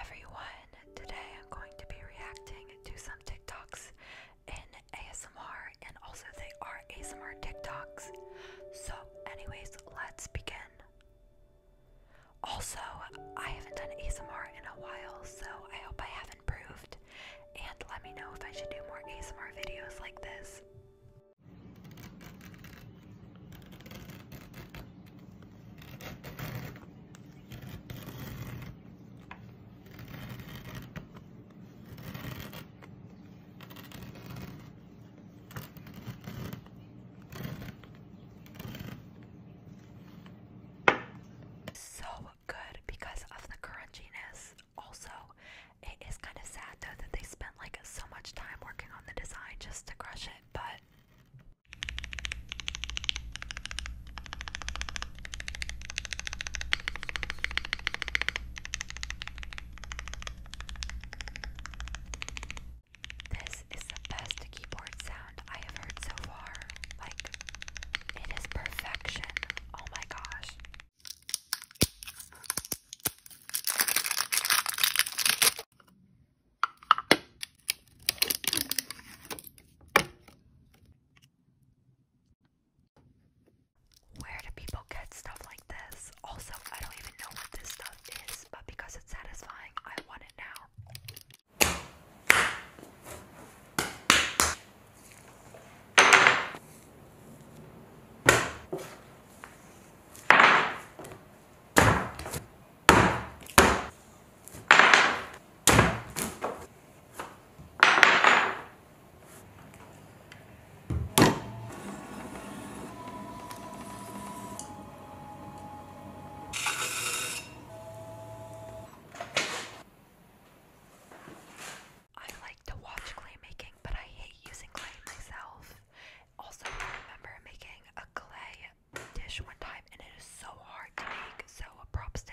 everyone. Today I'm going to be reacting to some TikToks in ASMR and also they are ASMR TikToks. So, anyways, let's begin. Also, I haven't done ASMR in a while, so I hope I have improved. And let me know if I should do more ASMR videos like this. So good because of the crunchiness. Also, it is kind of sad though that they spent like so much time working on the design just to crush it, but this is the best keyboard sound I have heard so far. Like, it is perfection. Oh my gosh. Where do people get stuff like this? Also, I don't even know what this stuff is, but because it's satisfying, I want it now. I like to watch clay making, but I hate using clay myself. Also, I remember making a clay dish one time and it is so hard to make, so props to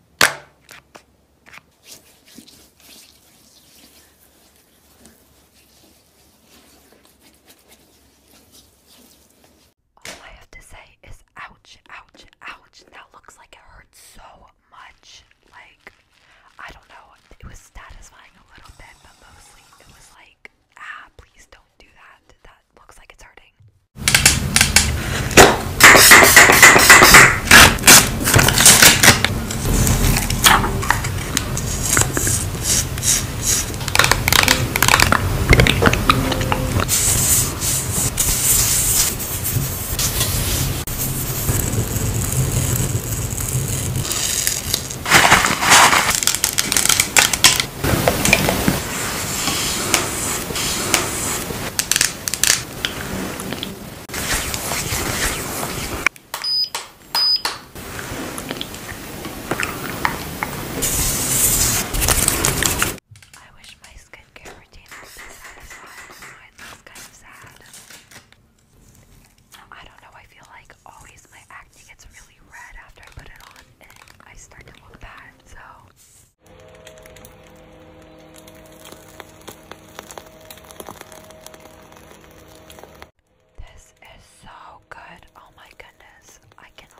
All I have to say is ouch, ouch, ouch. That looks like it hurts so much. Like, I don't know. It was satisfying a little bit, but mostly it was like, ah, please don't do that. That looks like it's hurting. I wish my skincare routine was so satisfying. kind of sad. I don't know, I feel like always my acne gets really red after I put it on and I start to look bad, so this. is so good. Oh my goodness, I cannot.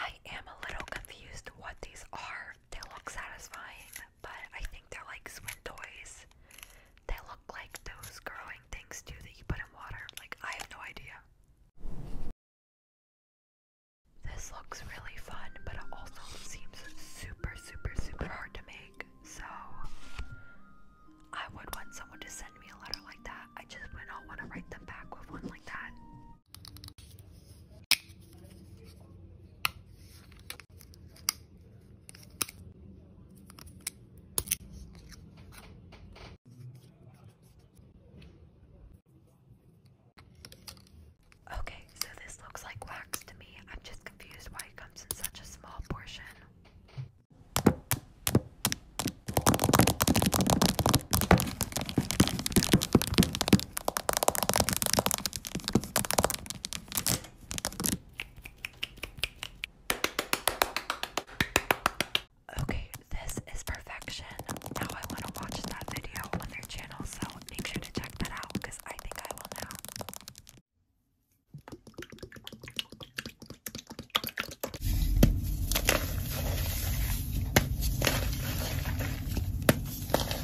I am a little confused what these are. They look satisfying but I think they're like swim toys. They look like those growing things too that you put in water. Like, I have no idea. This looks really fun, but it also seems super, super, super hard to make. So, I would want someone to send me a letter like that. I just would not want to write them back with one like that. Okay, so this looks like wax to me. I'm just confused why it comes in such a small portion. Okay, this is perfection. Now I want to watch that video on their channel, so make sure to check that out because I think I will know.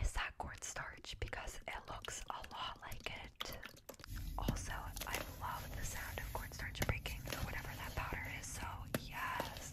Is that quartz star because it looks a lot like it. Also, I love the sound of cornstarch breaking or whatever that powder is, so yes.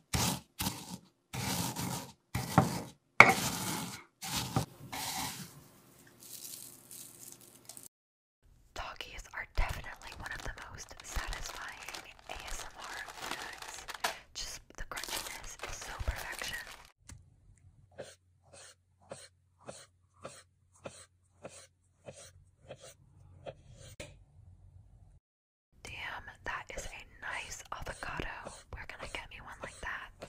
Doggies are definitely one of the most satisfying ASMR foods. Just the crunchiness is so perfection. Damn, that is a nice avocado. Where can I get me one like that?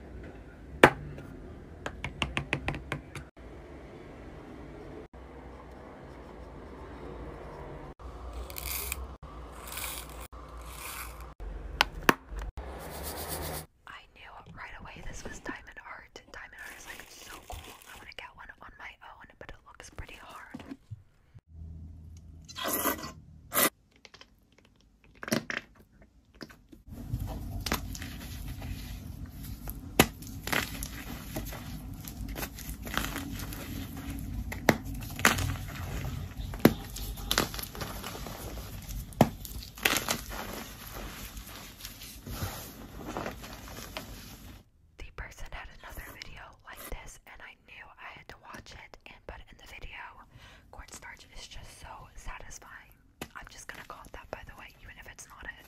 I knew right away this was diamond art. and Diamond art is like so cool. I want to get one on my own, but it looks pretty hard. The person had another video like this, and I knew I had to watch it but in the video, cornstarch is just so satisfying. I'm just gonna call that by the way, even if it's not it.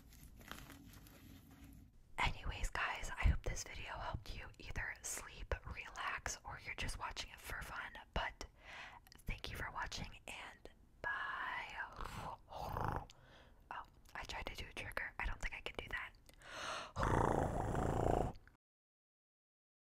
Anyways, guys, I hope this video helped you either sleep, relax, or you're just watching it for fun. But thank you for watching and bye. Oh, I tried to do a trigger. I don't think I can do that.